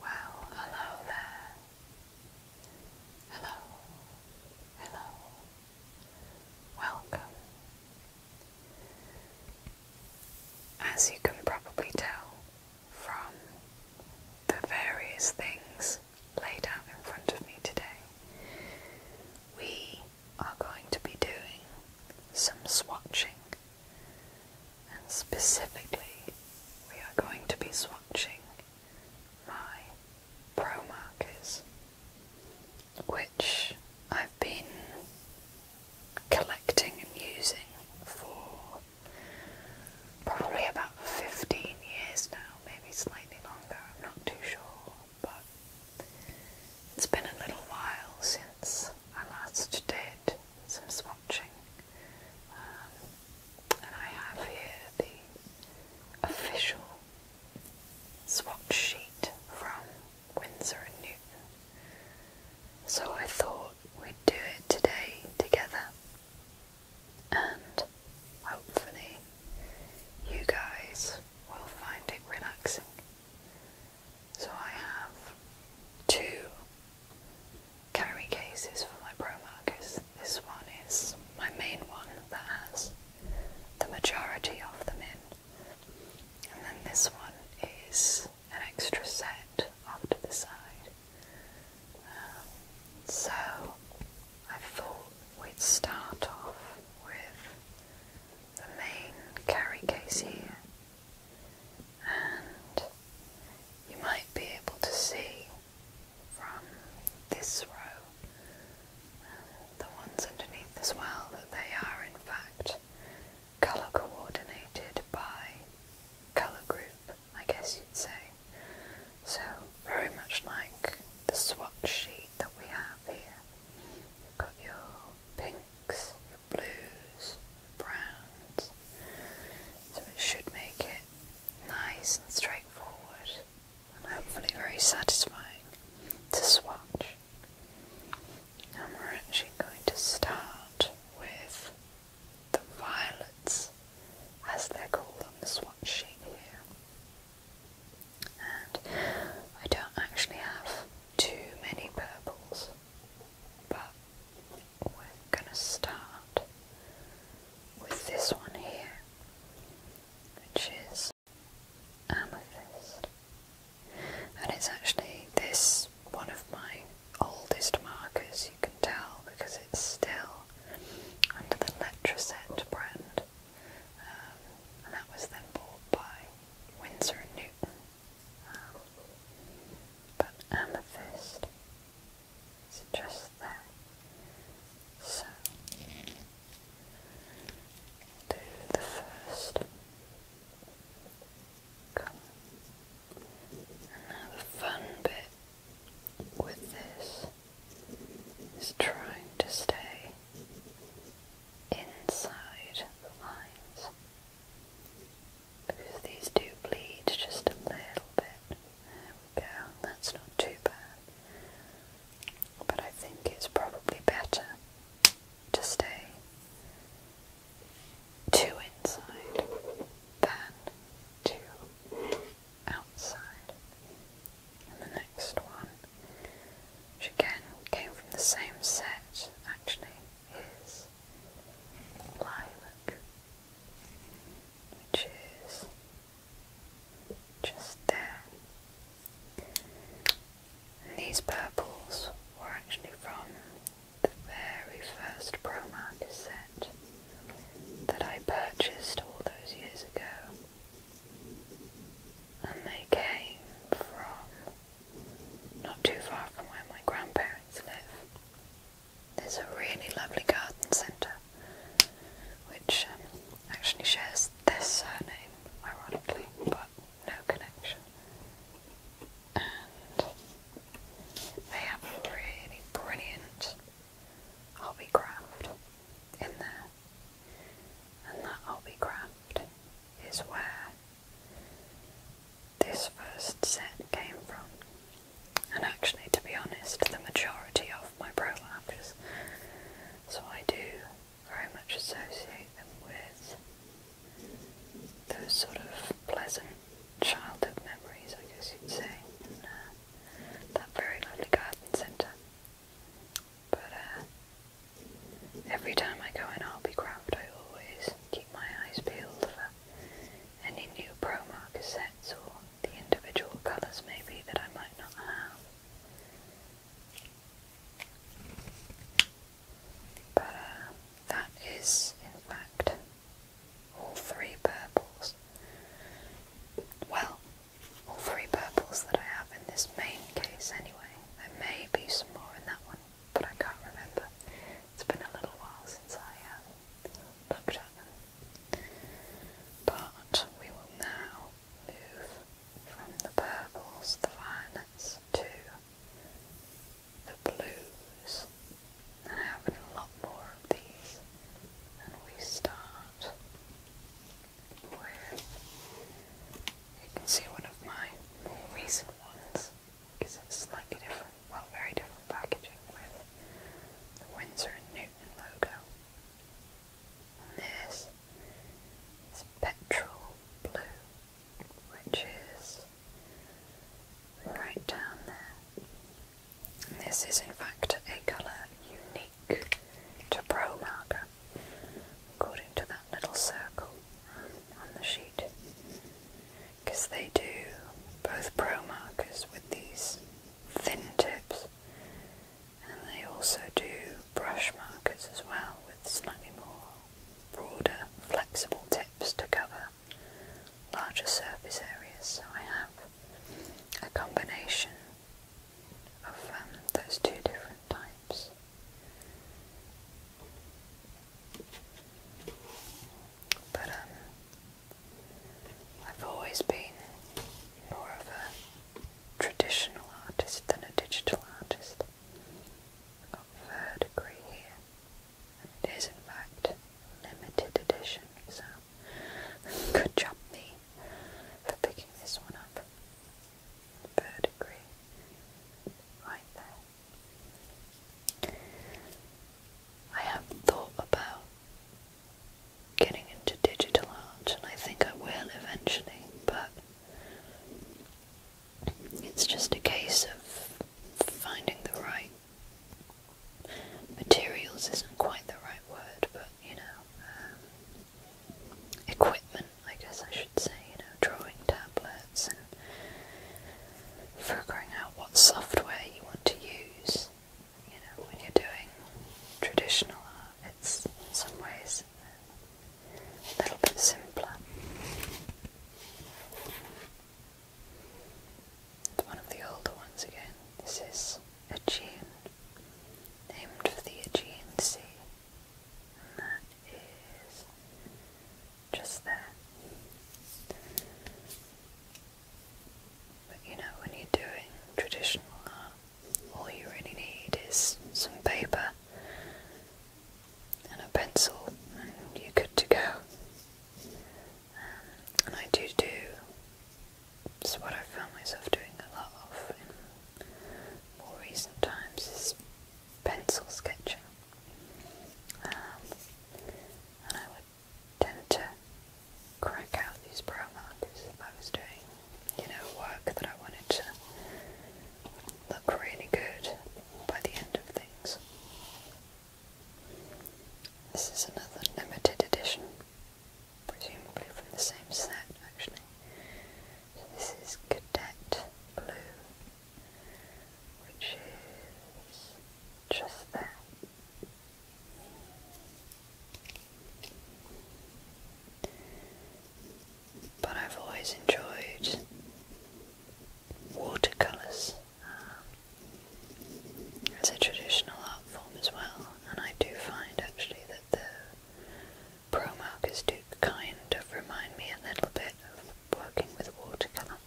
Well, hello there. Hello. Hello. Welcome. As you can probably tell from the various things laid out in front of me today, we are going to be doing some swatching, and specifically, we are going to be swatching my pro markers, which I've been collecting and using for probably about 15 years now, maybe slightly longer, I'm not too sure but it's been a little while since I last did some swatching. Um, and I have here the official swatch sheet from Windsor and Newton. So I thought we'd do it today together. And hopefully, you guys will find it relaxing. So I have two carry cases for my Pro markers. This one is my main one that has the majority of them in. And then this one is an extra set off to the side. Um, so I thought we'd start off with the main carry case here, and you might be able to see from this row and the ones underneath as well that they are in fact colour coordinated by colour group, I guess you'd say. So, very much like the swatch sheet that we have here. You've got your pink blues, browns. So it should make it nice and straightforward and hopefully very satisfying to swatch. And we're actually going to start with the violets as they're called the swatch here. And I don't actually have too many purples, but we're going to start with this one here, which is amethyst. And it's actually this one of my oldest markers, you can tell, because it's still under the Letraset brand. Um, and that was then bought by Windsor Newton but amethyst is just there. So, do the first colour. now the fun bit with this is trying to stay inside the lines because these do bleed just a little bit. There that's not too bad. But I think it's probably better to stay two inside than two outside. And the next one which again came from the same set, actually, is lilac, which is just there. these purples were actually from the very first Pro set that I purchased all those years ago. And they came from not too far from where my grandparents live. There's a really lovely garden centre which um, actually shares this surname, ironically, but no connection. And they have really brilliant hobby craft in there, and that hobby craft is where this first set came from. And actually, to be honest, the majority of my prolapses, so I do very much associate them with those sort of pleasant childhood memories, I guess you'd say, uh, that very lovely garden centre. But uh, Every time I go in Hobbycraft, I always keep my eyes peeled for any new promo cassettes or the individual colours maybe that I might not have. But uh, that is, in fact, all three purples. Well, all three purples that I have in this main case anyway. There may be some more in that one, but I can't remember. It's been a little while since I um, looked at them. But we will now move from the purples, the violets, to the blues. I have a lot more of these. And we start with, you can see one of my more recent ones is a different, well, very different packaging with the Windsor and Newton logo. this is petrol blue, which is right down there. this is, in fact, a colour unique to Pro Marker, according to them little circle on the sheet because they do both pro markers with these thin tips and they also do brush markers as well with slightly more broader flexible tips to cover larger surface areas so I have a combination of um, those two different types but um, I've always been more of a traditional artist than a digital artist. I've degree here, and it is in fact limited edition, so good job me for picking this one up. Verdigris, right there. I have thought about getting into digital art, and I think I will eventually, but it's just a case of finding the right materials isn't quite the right word, but you know, um, equipment I guess I should say, you know, drawing tablets and figuring out what software you want to use. You know, when you're doing traditional art, it's in some ways a little bit simpler. It's one of the older ones again. This is Aegean, named for the Aegean Sea. And that is just there. But you know, when you're doing traditional art, all you really need is some paper and a pencil, and you're good to go. Um, and I do do, it's what I found myself doing a lot of in more recent times, is pencil sketcher. Um, and I would tend to crack out these brow if I was doing, you know, work that I wanted to look really good by the end of things. This is another limited edition, presumably from the same set actually. this is Cadet Blue which is just that, But I've always enjoyed watercolours um, as a traditional art form as well, and I do find actually that the pro markers do kind of remind me a little bit of working with watercolour.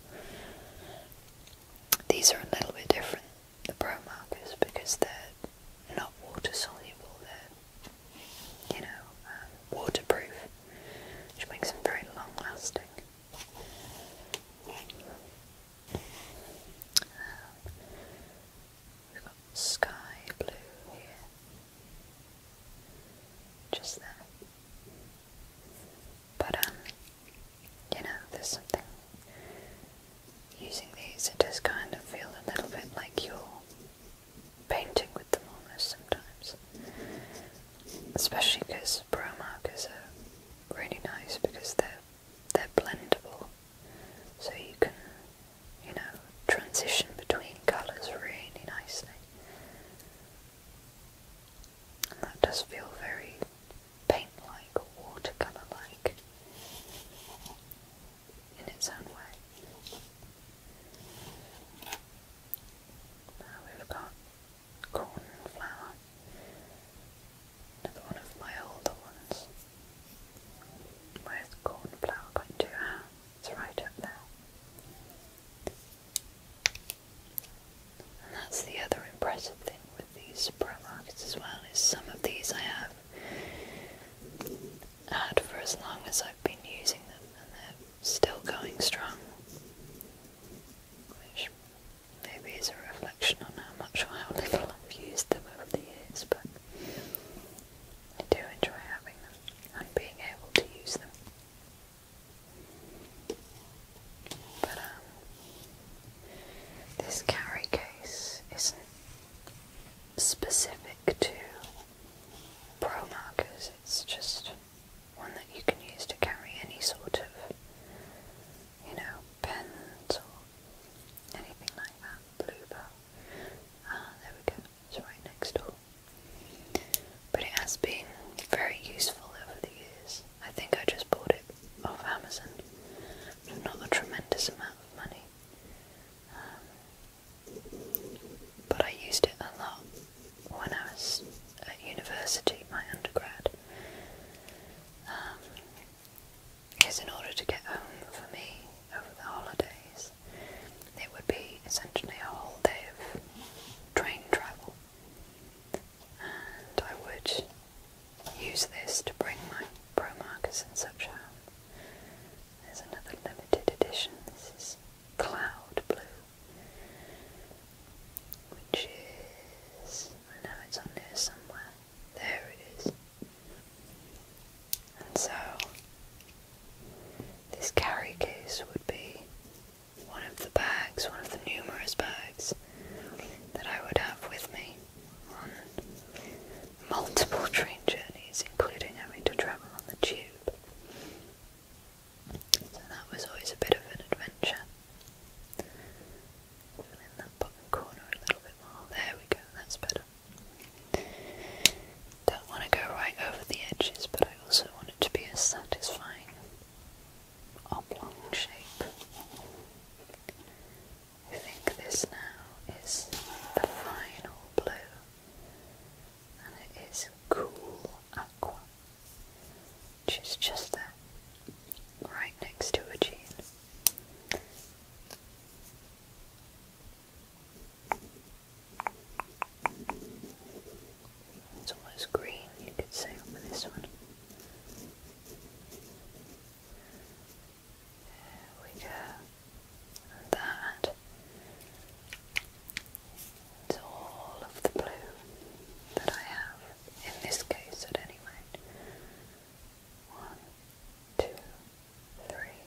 These are a little bit different, the pro markers, because they're not water soluble, they're, you know, um, waterproof, which makes them very long lasting. Um, we've got sky blue here. Just that, But, um, you know, there's something. Using these, it does kind of feel a little bit like you're painting with them almost sometimes. Especially because brow markers are really nice because they're they're blendable, so you can you know transition between colours really nicely that does feel very paint-like watercolour-like in its own way. Now we've got cornflower, another one of my older ones. Where's cornflower going to? it's right up there. And that's the other impressive thing with these Primarks as well, is some of these I have had for as long as I've been using them and they're still going strong. Which maybe is a reflection on how much or how little I've used them over the years, but I do enjoy having them and being able to use them. But um, this carry case isn't specific to pro markers, it's just one that you can use to carry any sort of, you know, pens or anything like that. Blue bow. Ah, there we go. It's right next door. But it has been very useful over the years. I think I just bought it off Amazon. Not a tremendous amount of money. Um, but I used it a lot when I was at university, my undergrad. Um, because in order to get home for me over the holidays, it would be essentially a whole day of train travel. I would use this to bring my pro markers such out. another limited edition, this is Cloud Blue, which is, I it's on there somewhere, there it is. And so, this carry case would be one of the bags, one of the numerous bags that I would have with me on multiple train journeys, including having to travel on the tube. So that was always a bit of an adventure. in that bottom corner a little bit more. There we go, that's better. Don't want to go right over the edges, but I also want it to be as satisfying oblong shape. I think this now is the final blue, and it is cool aqua, which is just right next to a gene. It's almost green, you could say, over this one. There we go. that. It's all of the blue that I have, in this case at any rate. One, two, three,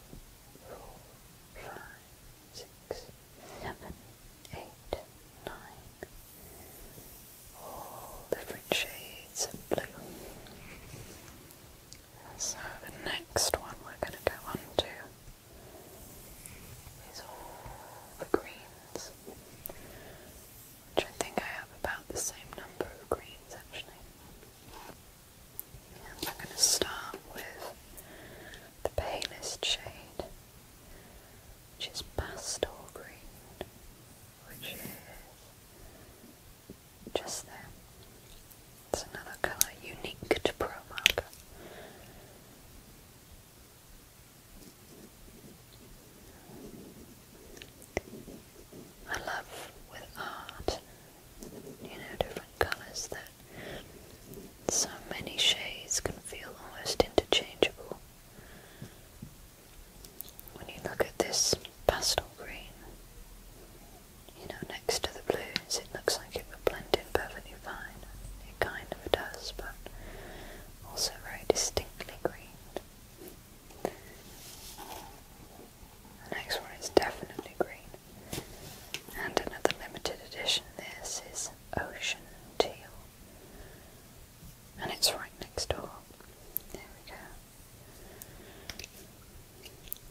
four, five, six, seven, eight, nine. All different shades of blue. So the next one we're going to go on to is all the greens, which I think I have about the same number of greens actually. And I'm going to start with the palest shade, which is pastel green, which is just there. It's another colour unique to Pro I love with art, you know, different colours that so many shades can feel almost interchangeable. When you look at this pastel green, you know, next to the blues, it looks like it would blend in perfectly fine. It kind of does, but also very distinctly green. The next one is definitely green. And another limited edition, this is Ocean Teal and it's right next door. There we go.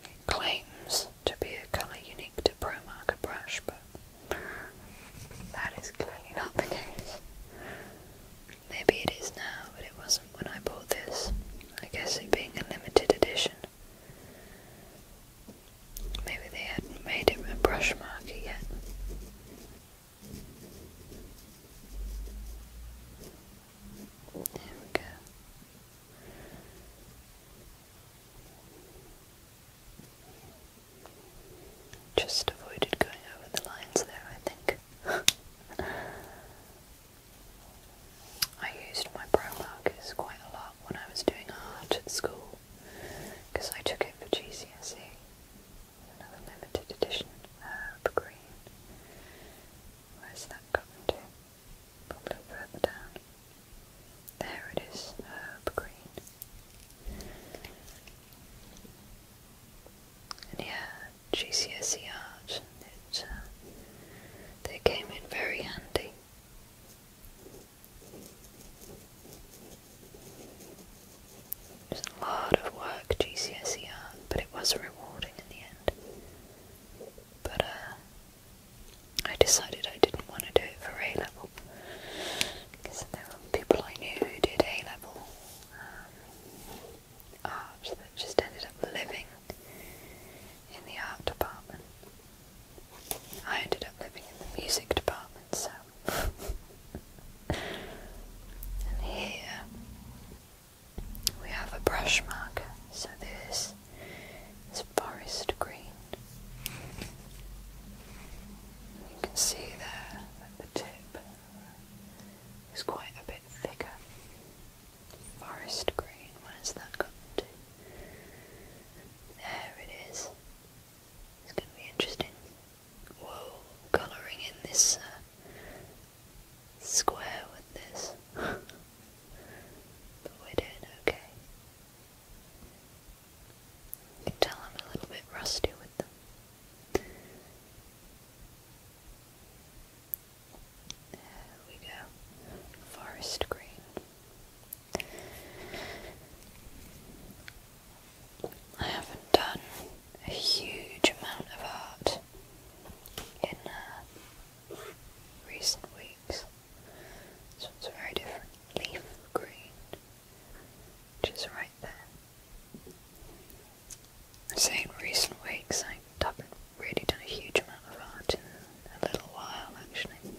It claims to be a colour unique to ProMarker brush, but that is clearly not the case. Maybe it is now, but it wasn't when I bought this. I guess it being a limited edition. Maybe they hadn't made him a brush marker yet. There we go. Just avoided going over the lines there, I think. I used my brow markers quite a lot when I was doing art at school because I took it for GCSE, another limited edition uh, herb green. Where's that gotten to? Probably further down. There it is, herb green. And yeah, GCSE art, it, uh, they came in very handy. It was a lot of work GCSE art, but it was rewarding in the end. But uh, I decided I didn't want to do it for A level because there were people I knew who did A level um, art that just ended up living in the art department. I ended up living in the music department, so and here we have a brush marker, so this is forest green. you can see there at the tip it's quite a bit thicker. Forest green, where's that gone to? There it is. It's going to be interesting whoa, colouring in this uh, square with this. but we're okay. You can tell I'm a little bit rusty with them. There we go. Forest green. I haven't done a huge amount of art in uh, recent weeks. So it's a very different leaf green, which is right there. I say in recent weeks, I haven't really done a huge amount of art in a little while actually.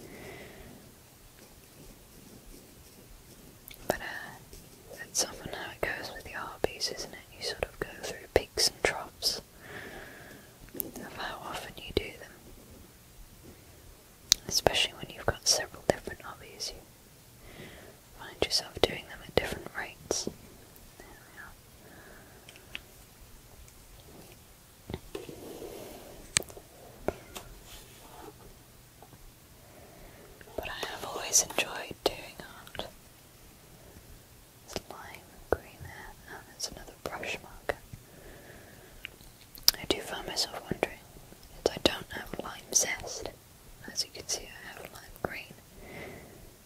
But uh, that's often how it goes with the art piece, isn't it? You sort of go through peaks and troughs of how often you do them. Especially when you've got several different hobbies, you find yourself doing them at different rates. But I have always enjoyed doing art. It's lime green there, and it's another brush marker. I do find myself wondering that I don't have lime zest. As you can see, I have lime green.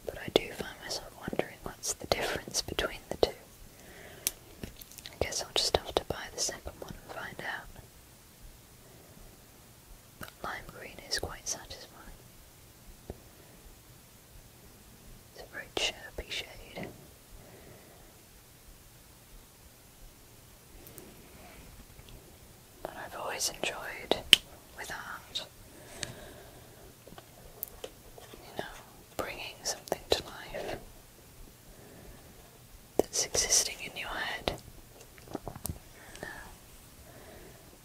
But I do find myself wondering what's the difference between the two. I guess I'll just have to buy the second one and find out. But lime green is quite satisfying. It's a very chirpy shade. That I've always enjoyed without, you know, bringing something to life that's existing in your head.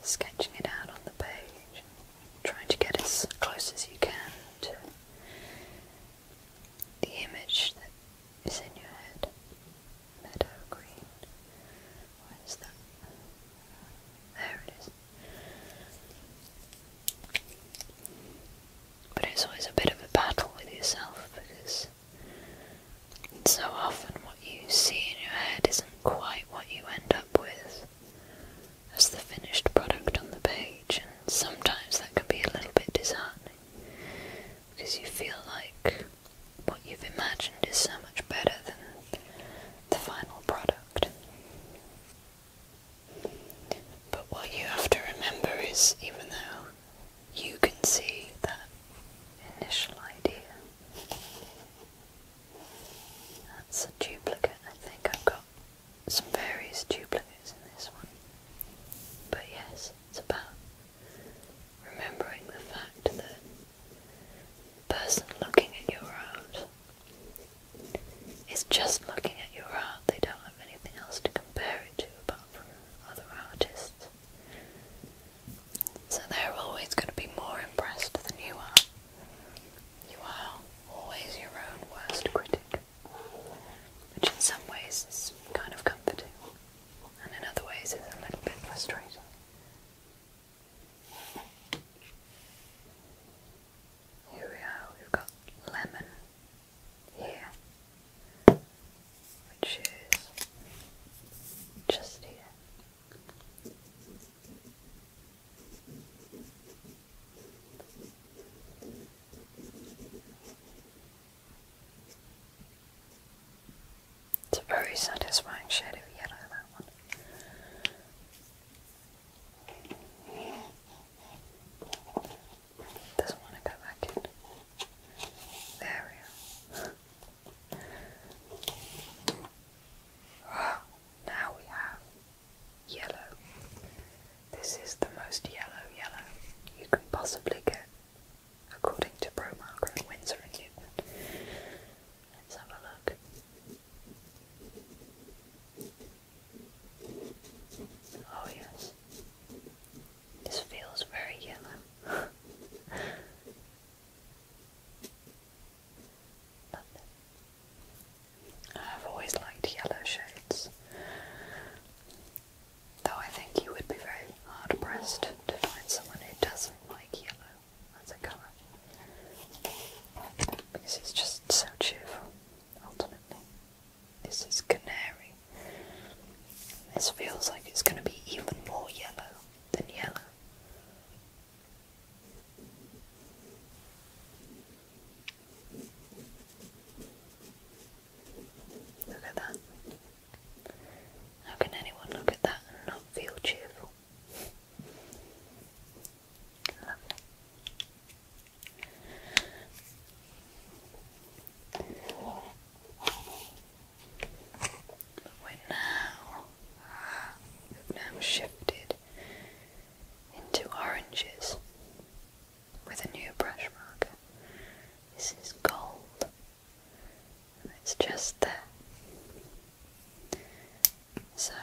sketching it out on the page, trying to get as close as you can to the image that is in your head. Meadow green. Where is that? There it is. But it's always a bit of a battle with yourself because so often, what you see in your head isn't quite what you end up with as the finished product on the page, and sometimes that can be a little bit disheartening because you feel like what you've imagined is so much better than the final product. But what you have to remember is even though you can see that initial idea. That's a duplicate. I think I've got some various duplicates in this one. But yes, it's about remembering the fact that the person looking at your art is just looking at your art. They don't have anything else to compare it to apart from other artists. So they're always going to be more impressed than you are. You are always your own worst critic, which in some ways is kind of comforting, and in other ways is a little bit frustrating. Here we are, we've got lemon here which is just here. It's a very satisfying shade of yellow, that one. Doesn't want to go back in. There we are now we have yellow. This is the most yellow yellow you can possibly get, according to Pro Margaret Windsor and Newton. Let's have a look. Oh yes, this feels very yellow. I've always liked yellow shades, though I think you would be very hard pressed to find someone who doesn't like yellow as a colour because it's just so cheerful ultimately. This is canary this feels like it's going to be even more yellow than yellow. Look at that. How can anyone look at that and not feel cheerful? Lovely. We're now, we've now shifted into oranges with a new brush marker. This is gold. it's just there. So,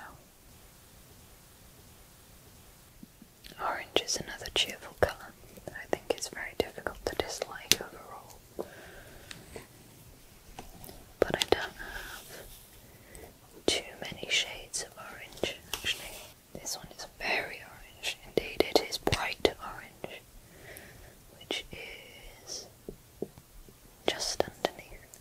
orange is another cheerful colour that I think is very difficult to dislike overall. But I don't have too many shades of orange actually. This one is very orange, indeed, it is bright orange, which is just underneath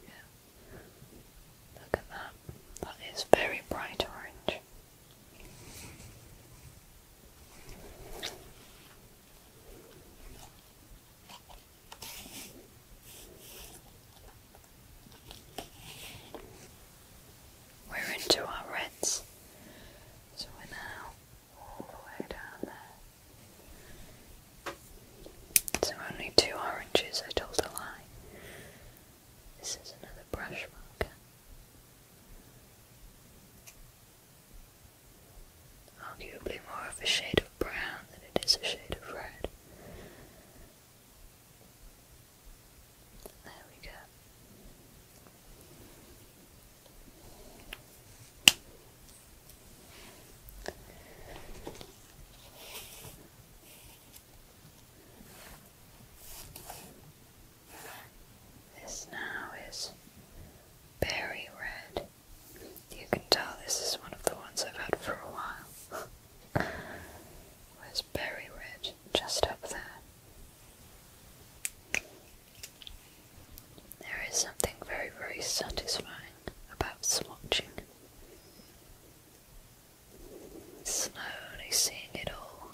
we Look at that. That is very bright orange. We're into our reds, so we're now all the way down there. So only two oranges, I told a lie. This is another brush marker. Arguably more of a shade of brown than it is a shade of red. There we go. This now is berry red. You can tell this is one of the ones I've had for a while. Where's berry red? Just up there. There is something very, very satisfying about swatching. Slowly seeing it all,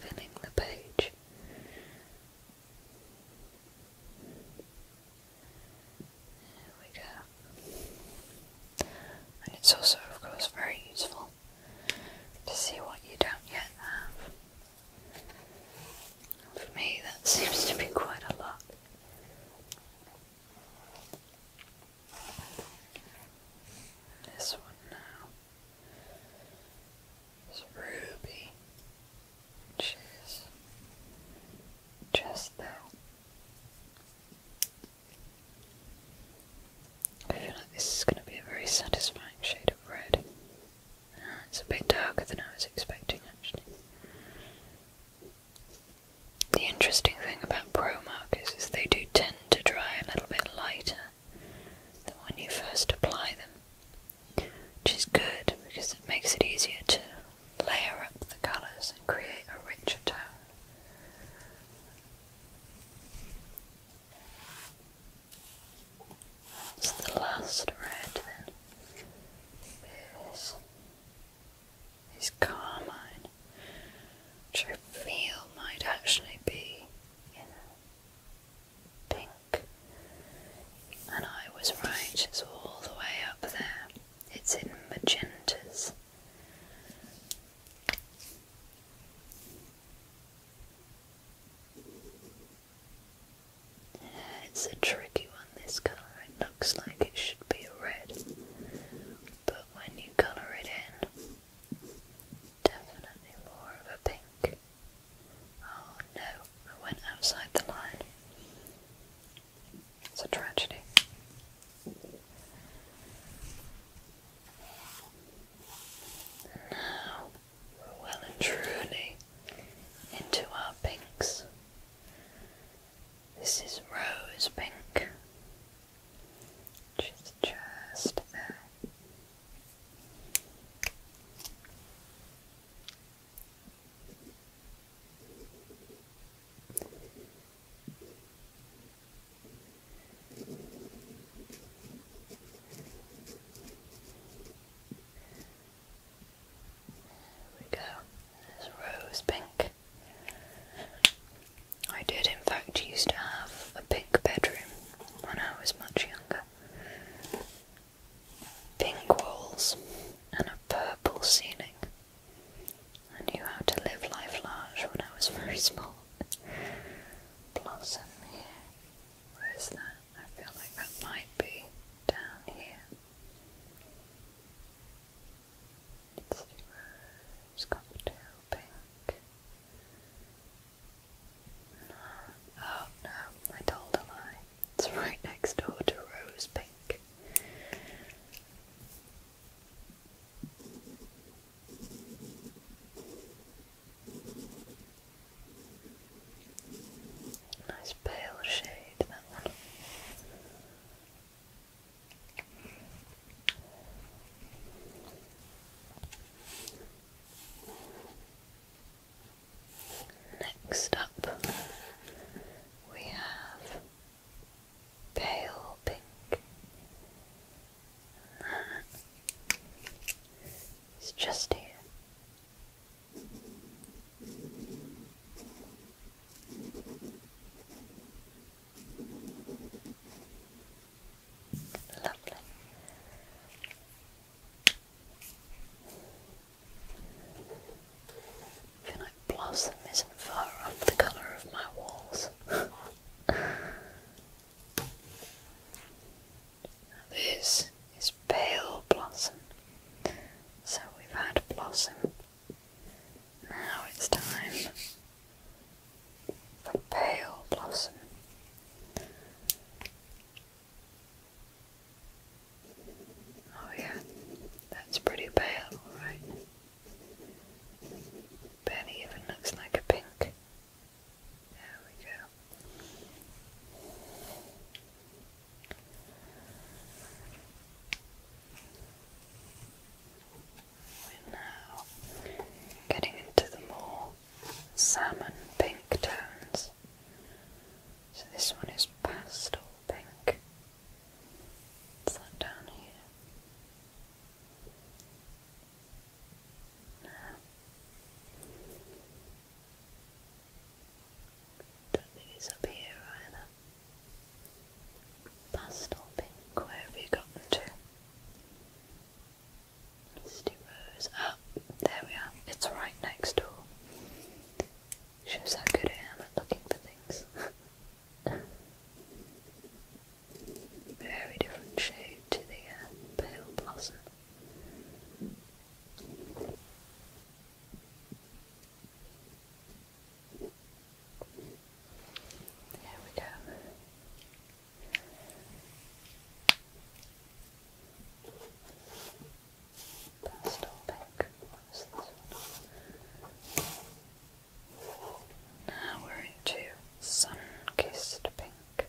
filling the page. There we go. And it's also, of course, very useful to see what you don't yet have. For me, that seems to be quite a lot. This one now is Ruby, which just there. I feel like this is going to be a very satisfying shade of red. it's a bit darker than I was expecting, actually. The interesting thing about Pro markers is they do tend to dry a little bit lighter than when you first apply them, which is good because it makes it easier to layer up the colours and create a richer tone. It's the last red then. This is carmine, which might actually be in pink. And I was right, it's all the way up there. It's in magentas. it's a tricky one, this colour, I looks like it should be red, but when you colour it in, definitely more of a pink. Oh no, I went outside the line. It's a tragedy. Now we're well and truly into our pinks. This is rose pink. just there. There we go. There's rose pink. I did, in fact, used to have a pink bedroom when I was much younger. Pink walls and a purple ceiling. I knew how to live life large when I was very small. Blossom here. Where is that? I feel like that might be down here. It's the rose cocktail pink. No. Oh, no, I told a lie. It's right next door to rose pink. Nice pale shade, that Next up, we have pale pink. It's just here. Lovely. feel like blossom isn't far off the colour of my walls. this is pale blossom. So we've had blossom now it's time for pale blossom. Oh yeah, that's pretty pale, right? Barely even looks like a pink. There we go. We're now getting into the more salmon pink tones. So this one is pastel pink. It's that down here. Don't think it's up here either. Pastel pink, where have you gotten to? Misty Rose. Ah, there we are. It's right next door. Shows how good I am at looking for things. Very different shade to the uh, pale blossom. There we go. That's all Now we're into sun-kissed pink.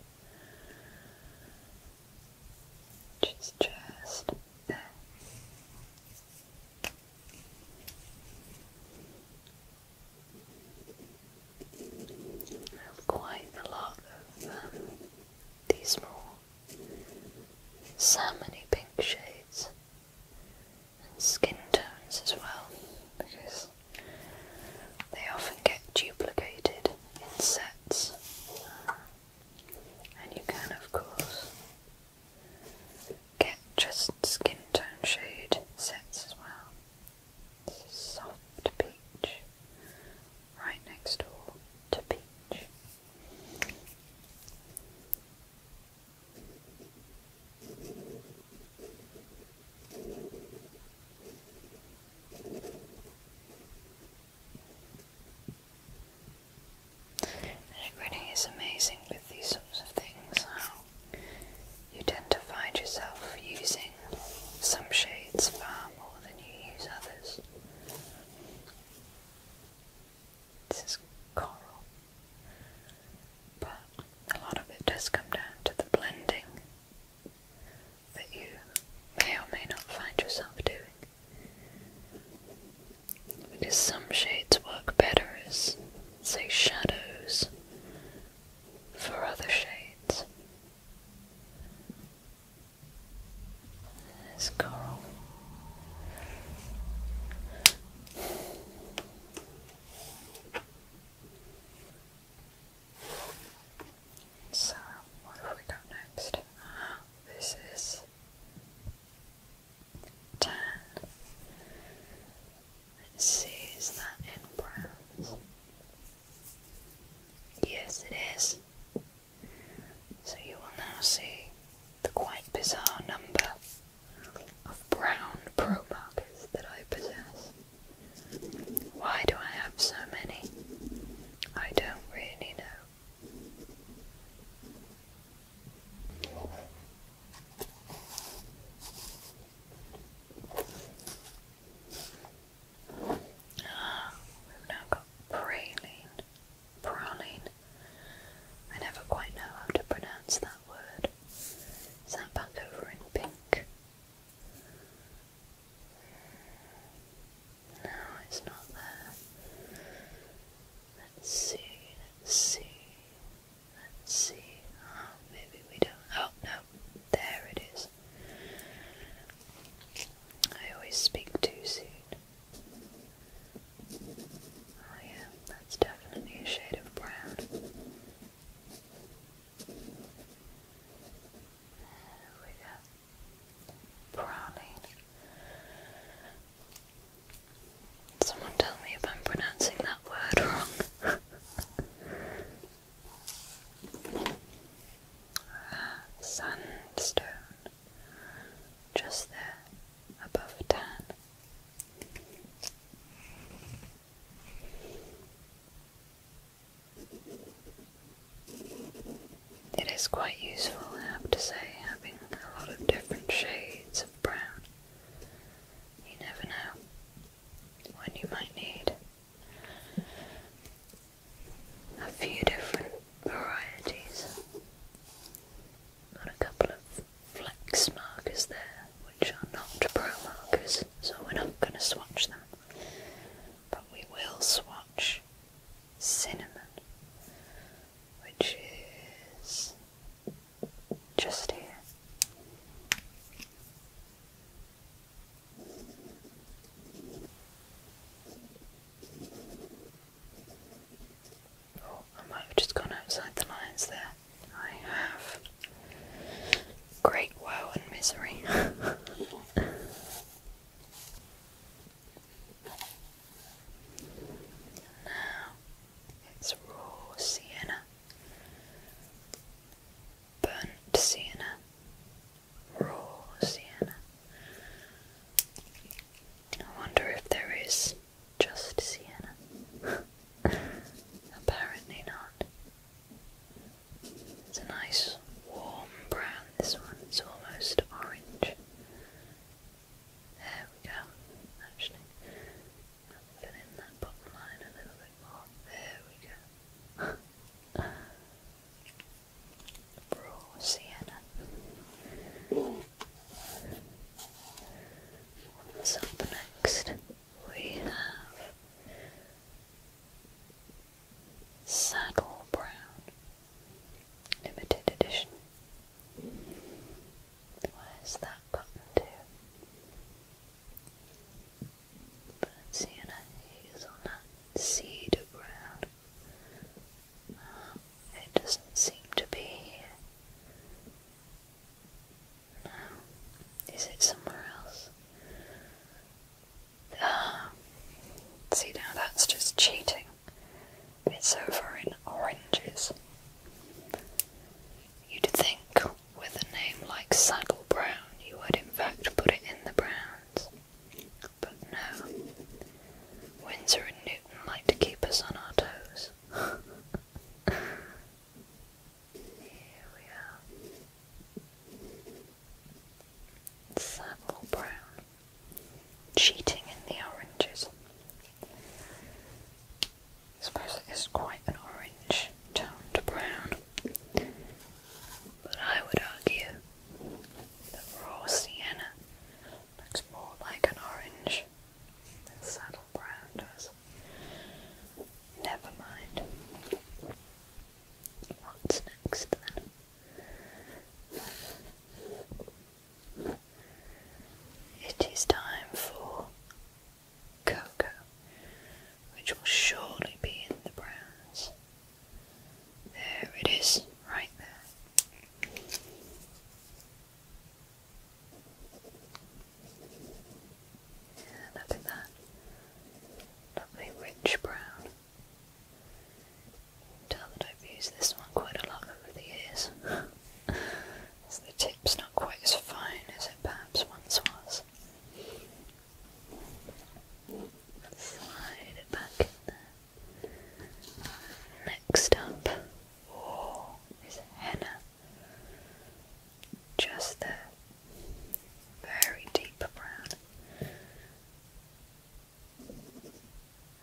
Which just there. I have quite a lot of um, these small salmony pink shades and skin tones as well because they often get duplicated in sets and you can of course Get just skin tone shade sets as well. soft peach, right next door to peach. And is amazing with these sorts of things how you tend to find yourself using some shades far more than you use others. This is coral, but a lot of it does come down to the blending that you may or may not find yourself doing because some shades work better as, say, shadows for other shades. There's coral. So, what have we got next? This is 10. see, is that in brown? Yes, it is. So you will now see the quite bizarre number of brown pro markers that I possess. Why do I have so many? I don't really know. Ah, we've now got praline, praline. I never quite know how to pronounce that word. Is that back over in pink? No, it's not there. Let's see, let's see. Let's see. Oh, maybe we don't. Oh, no. There it is. I always speak too soon. Oh, yeah, that's definitely a shade of brown. we go. Browning. Someone tell me if I'm pronouncing that word wrong. sandstone. Just there, above tan. It is quite useful, I have to say, having a lot of different shades of brown. You never know when you might need a few different varieties. Got a couple of flex markers there, which are not pro markers, so we're not going to swatch them. But we will swatch cinnamon, which is just here. Oh, I might have just gone outside the lines there. I have great woe and misery. now, it's raw sienna, burnt sienna, raw sienna. I wonder if there is just sienna. Apparently not. It's a nice warm brown, this one's almost orange. There we go. Actually, fill that bottom line a little bit more. There we go. Raw sienna. What's up next? We have Saddle Brown Limited Edition. Where's that coming to? Balenciana is on that seed ground. Uh, it doesn't seem to be No. Is it somewhere else? Ah. See now that's just cheating. It's over in oranges. You'd think with a name like Saddle Brown you would in fact put it in the Browns. But no. Windsor and Newton like to keep us on our toes. Here we are. Saddle Brown. Cheating in the oranges. Suppose it is quite an orange tone to brown. But I would argue that raw sienna looks more like an orange than saddle brown does. Never mind. What's next then? It is time for Coco, which will surely be in the browns. There it is, right there. And look at that. Lovely rich brown. tell that I've used this one quite a lot over the years. the tip's not quite as fine as it perhaps once was. Slide it back in there. Next up, oh, is henna. Just there. Very deep brown.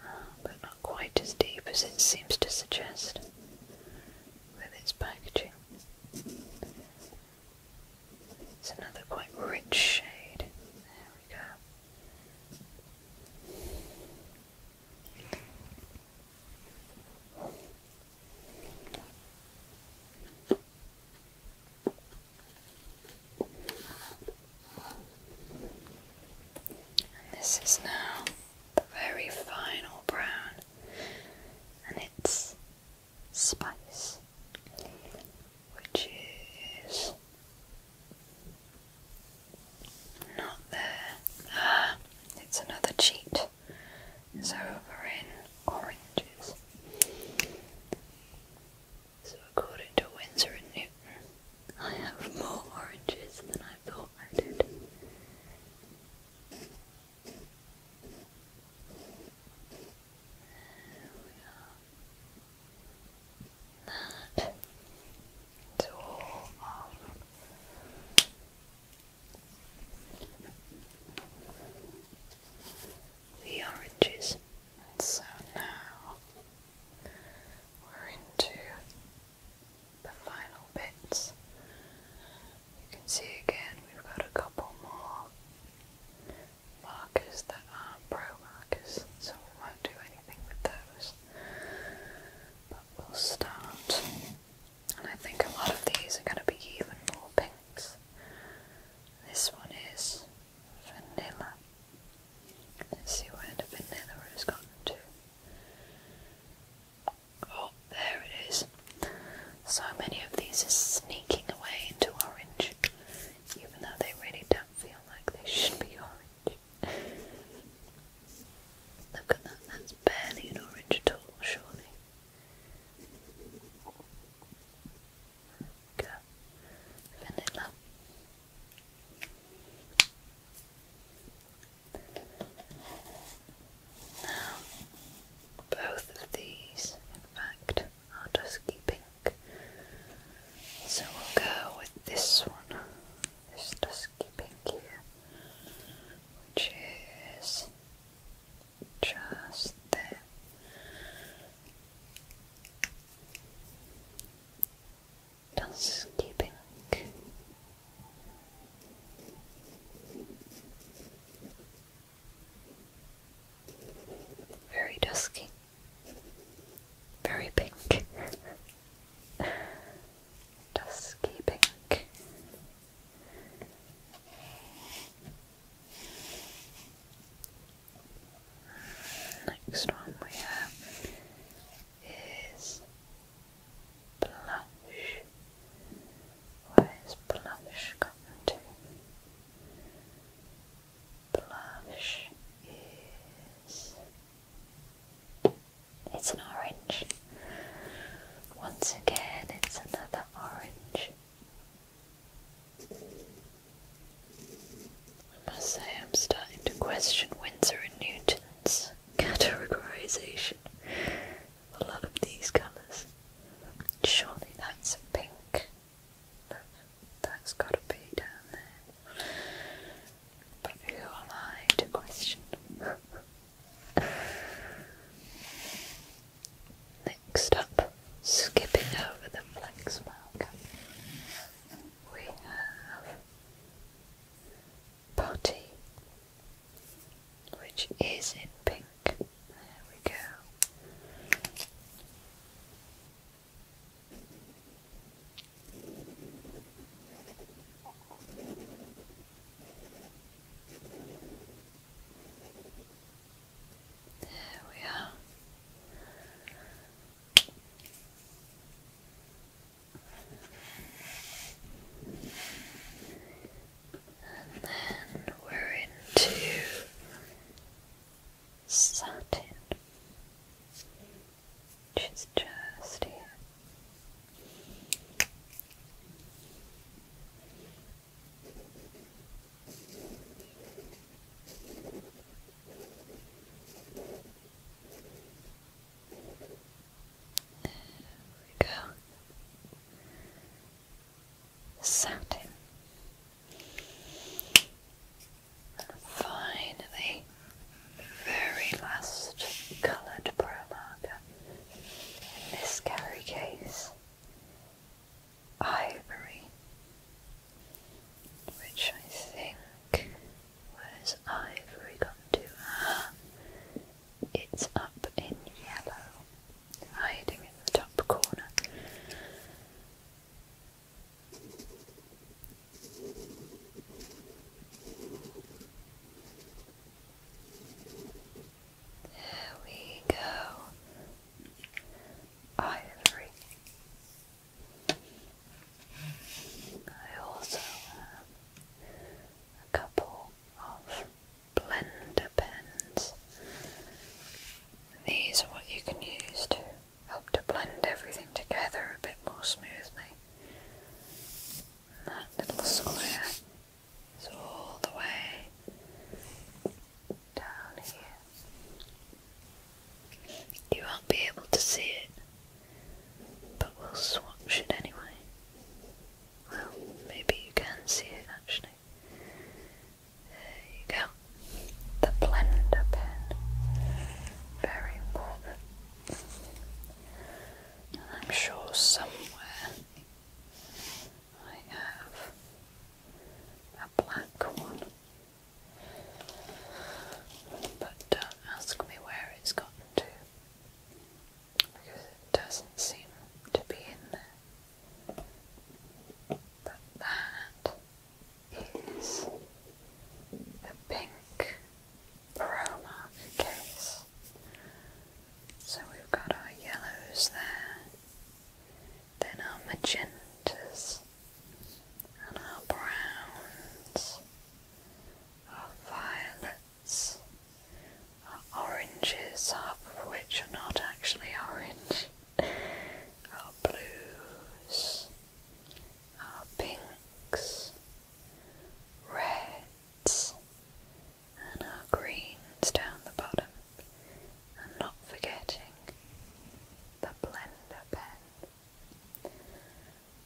Ah, but not quite as deep as it seems to suggest with its packaging. It's another quite rich shade. There we go. this is now the very final brown and it's spice, which is not there. Ah, it's another cheat. It's over in oranges. So, according to Windsor and Newton, I have more oranges than I I thought I did. There we are. The oranges. And so now we're into the final bits. You can see again we've got a couple more markers that are pro markers, so we won't do anything with those. But we'll start, and I think a lot of these are going to be even more pinks. This one is vanilla. Let's see where the vanilla has gotten to. Oh, there it is. So many of these are sneaking away into orange, even though they really don't feel like they should be orange. Look at that, that's barely an orange at all, surely. Go. Vanilla. Now, both of these, in fact, are dusky pink. So we'll go with this one, this dusky pink here, which is just there. Dusky pink. Very dusky. Very pink. dusky pink. Next one we have is Blush. Where is blush coming to? Blush is. It's an orange. Once again, it's another orange. I must say, I'm starting to question Windsor and Newton's categorization a lot of these colours. Surely that's a pink. that's gotta be down there. But who am I to question? Next up, skipping over the flex marker, we have potty, which is in pink. There we go. There we are and then we're into satin, which is just here. There we go. Satin. finally, very last coloured pro in this carry case. Ivory, which I think, where's ivory gone to? Uh, it's up in yellow, hiding in the top corner. There we go. Ivory. I also have a couple of blender pens. These are what you can use to help to blend everything together a bit more smoothly. that little square is all the way down here. You won't be able to see it, but we'll swatch it anyway. Well, maybe you can see it actually. There you go. The blender pen. Very important. And I'm sure somewhere I have a black one. But don't ask me where it's gotten to because it doesn't seem to be in there. But that is the pink Promark case. So we've got our yellows there, then our magentas, and our browns, our violet oranges, half of which are not actually orange, are blues, are pinks, reds, and our greens down the bottom. And not forgetting the blender pen.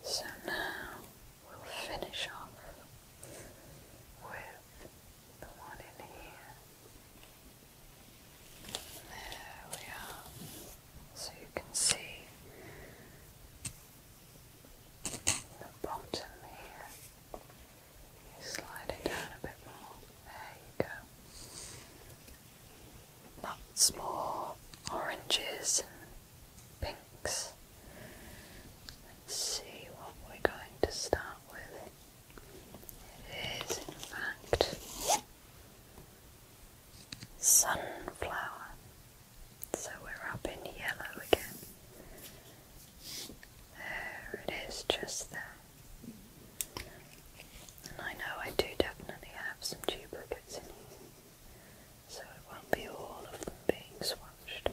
So now we'll finish off with the one in here. There we are. So you can see the bottom here. You slide it down a bit more. There you go. Lots more oranges pinks. Let's see what we're going to start with. It is, in fact, sunflower. So we're up in yellow again. There it is, just there. And I know I do definitely have some duplicates in here, so it won't be all of them being swatched.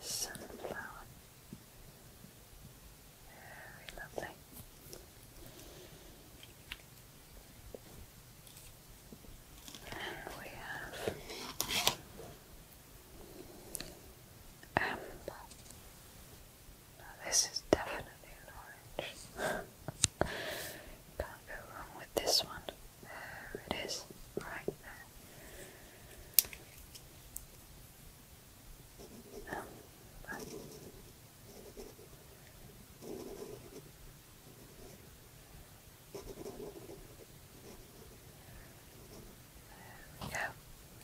Sunflower. Very lovely. And we have amber. Now this is definitely an orange. Can't go wrong with this one. There it is, right there. there we go.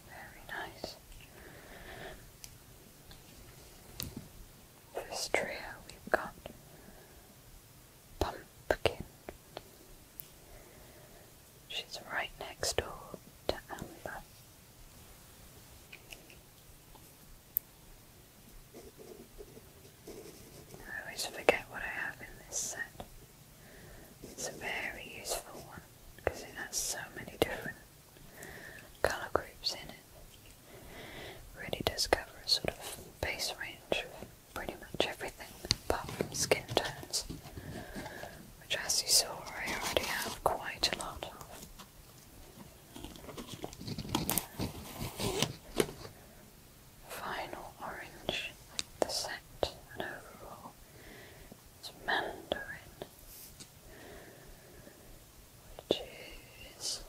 Very nice. This trio we've got Pumpkin. She's right next door to Amber. I always forget what I have in this set. It's a very useful one because it has so many different colour groups in it really discover a sort of base range of pretty much everything apart from skin tones, which as you saw I already have quite a lot of. Final orange, the set and overall it's mandarin, which is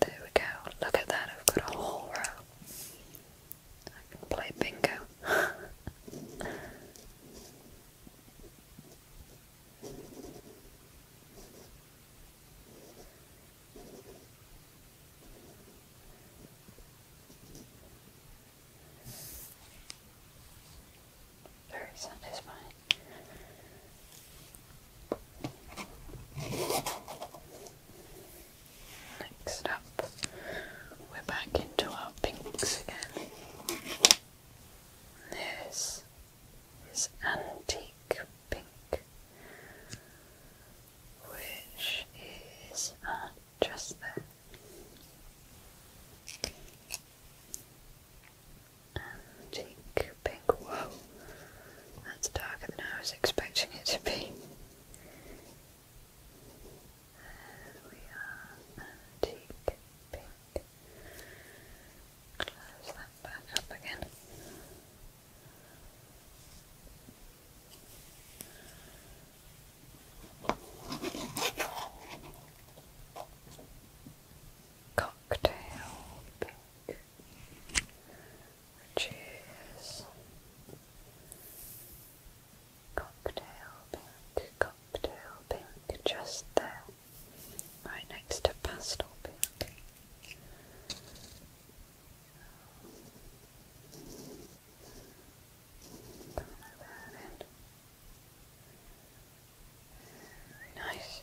there we go. Look at that, I've got a whole row. I can play bingo. Very satisfying. Next up, we're back into our pinks again. This is antique pink, which is just there. Antique pink think, that's darker than I was expecting it to be. antique pink. Close that back up again. Cocktail pink which is cocktail pink, cocktail pink, just there, right next to pastel pink. That in. Very nice.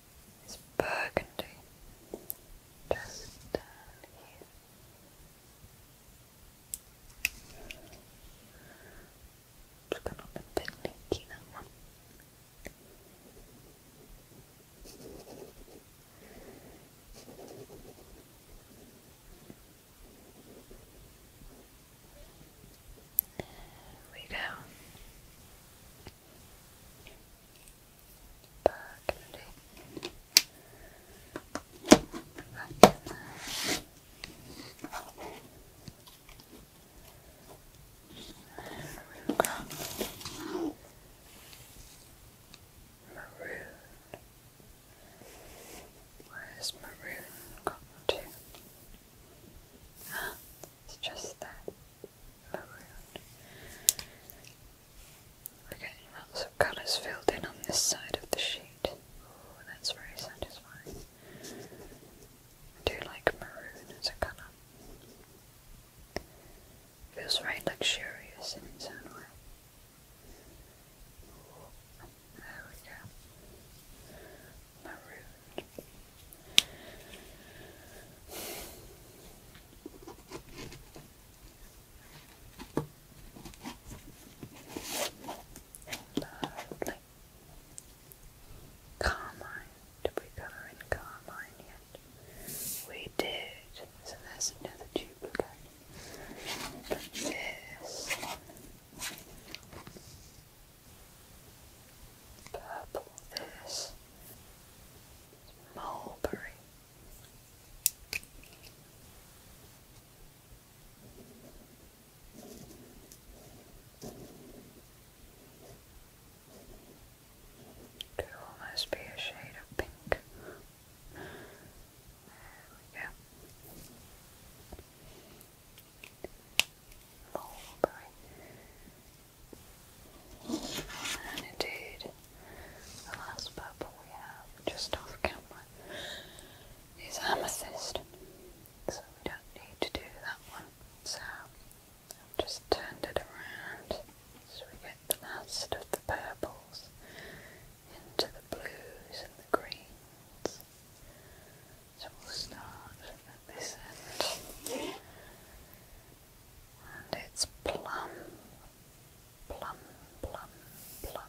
It's burgundy. Just down here. Just gonna be a bit one. There we back and maroon. Where's maroon gone to? It's just that. We're getting lots of colours filled in on this side of the sheet. Oh, that's very satisfying. I do like maroon as a colour. Feels very luxurious in its own There we go. Maroon. Lovely. Carmine. Did we cover in Carmine yet? We did. So there's another duplicate. this purple, this mulberry. Could almost be a shade of pink. There we and indeed, the last purple we have just off camera is amethyst, so we don't need to do that one. So I've just turned it around so we get the last of the purples into the blues and the greens. So we'll start at this end and it's plum, plum, plum, plum,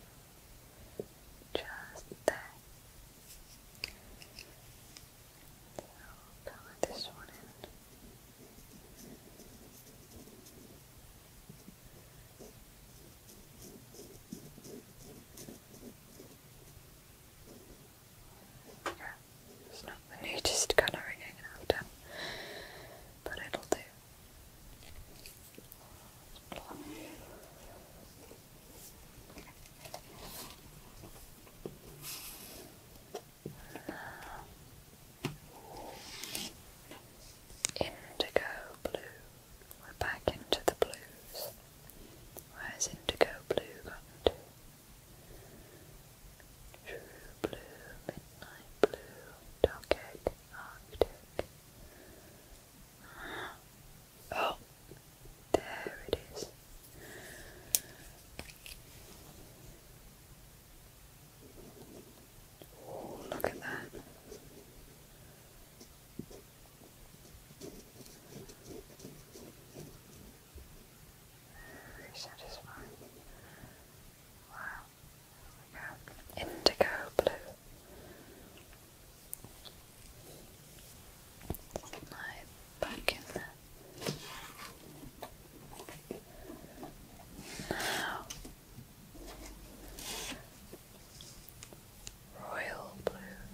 just there. So I'll this one in. There we not the neatest colouring I have done, but it'll do. Indigo blue. We're back into the blues. Where's indigo blue gone True blue, midnight blue, dark arctic. Oh, there it is. Oh, look at that. Very satisfying. Wow indigo blue. Slide back in there. royal blue,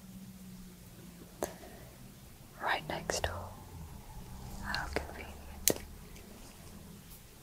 right next door. How convenient.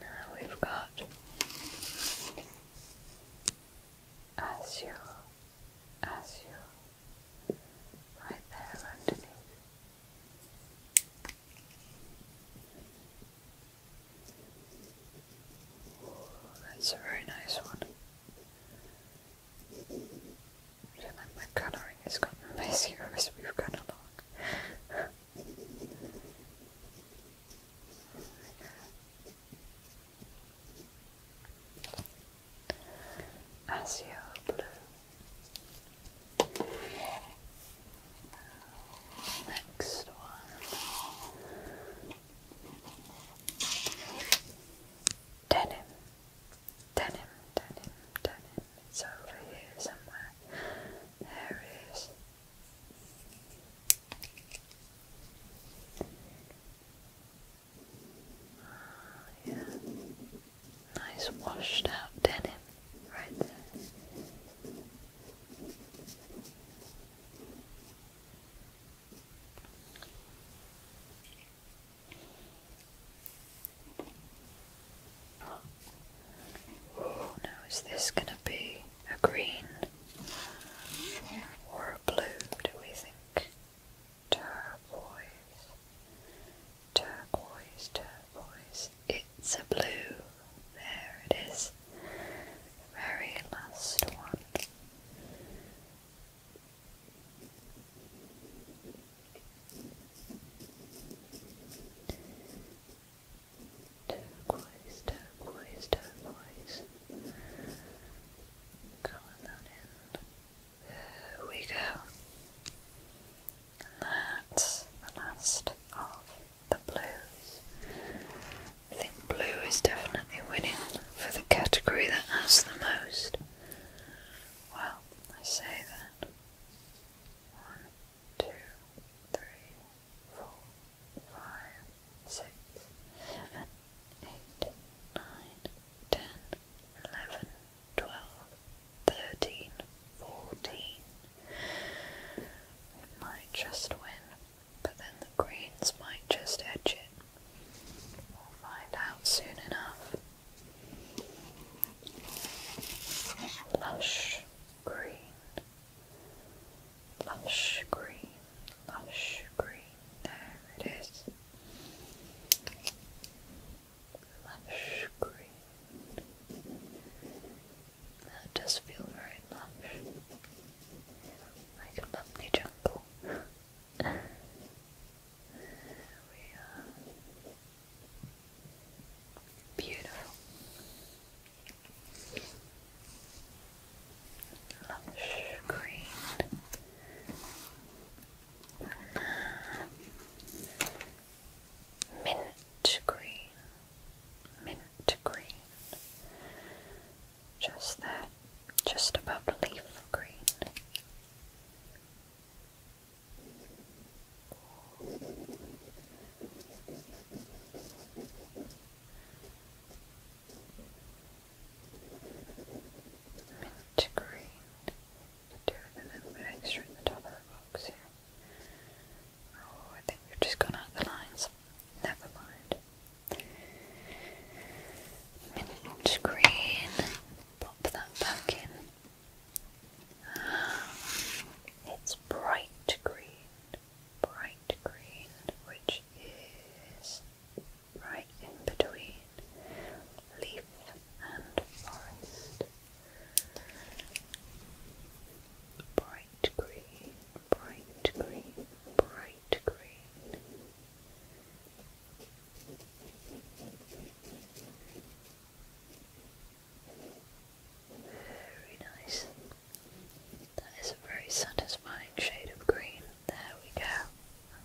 Now we've got azure, azure, right there underneath. that's a very nice one. I feel like my colouring has gotten messier as we've gone along. Azure blue. Next one. Denim, denim, denim, denim. It's over here somewhere. There oh, yeah. Nice washed out denim right there. Now, is this going to be a green or a blue, do we think? Turquoise, turquoise, turquoise. It's a blue. There it is. Very last one. Turquoise, turquoise, turquoise. Color that in. There we go. And that's the last of the blues. I think blue is definitely winning for the category that has the most. Well, I say that two, three, four, five, six, seven, eight, nine, ten, eleven, twelve, thirteen, fourteen. might just win, but then the greens might just edge it. We'll find out soon enough. Lush green, lush green, lush green. There it is. Lush green. That does feel very lush. Like a lovely jungle. Beautiful. Lush green. Mint green. Mint green. Just that, just above leaf green. Mint green. Do it and then extra in the top of the box here. Oh, I think we've just gone out of the lines. Never mind. Mint green. Pop that back in. It's bright green, bright green, which is right in between leaf and forest. Bright green, bright green, bright green. Very nice. That is a very satisfying shade of green. There we go.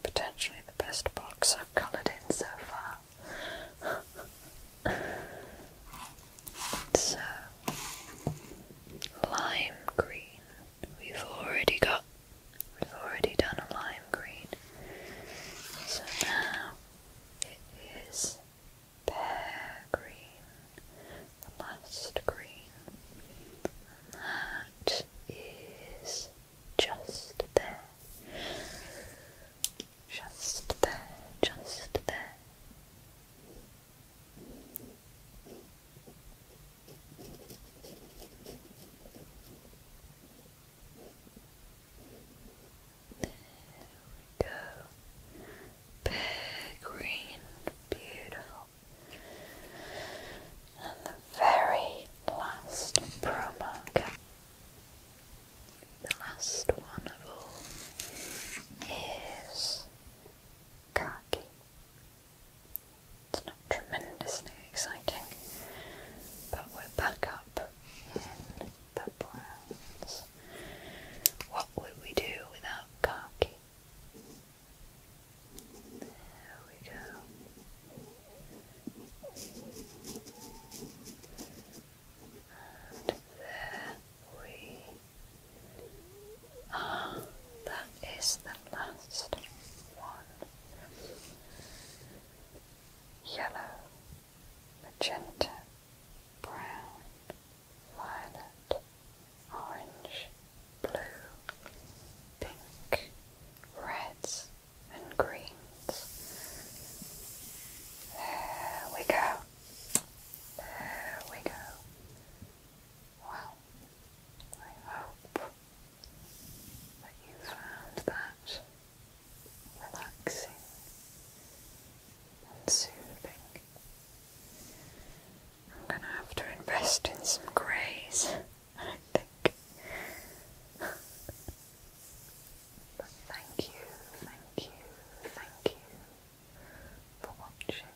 potentially the best box I've coloured in so far. so, lime green. We've already got, we've already done a lime green. So now it is pear green, the last green, and that is just there, just there, just there. There we go. Big green, beautiful. And the very last promo the last one of all, is khaki. It's not tremendously exciting, but we're back up pepperons. What would we do without khaki? There we go. And there we are. that is the last one. Yellow magenta, brown, violet, orange, blue, pink, reds, and greens. There we go. There we go. Well, I hope that you found that relaxing and soothing. I'm gonna have to invest in some greys, I think. but thank you, thank you, thank you for watching.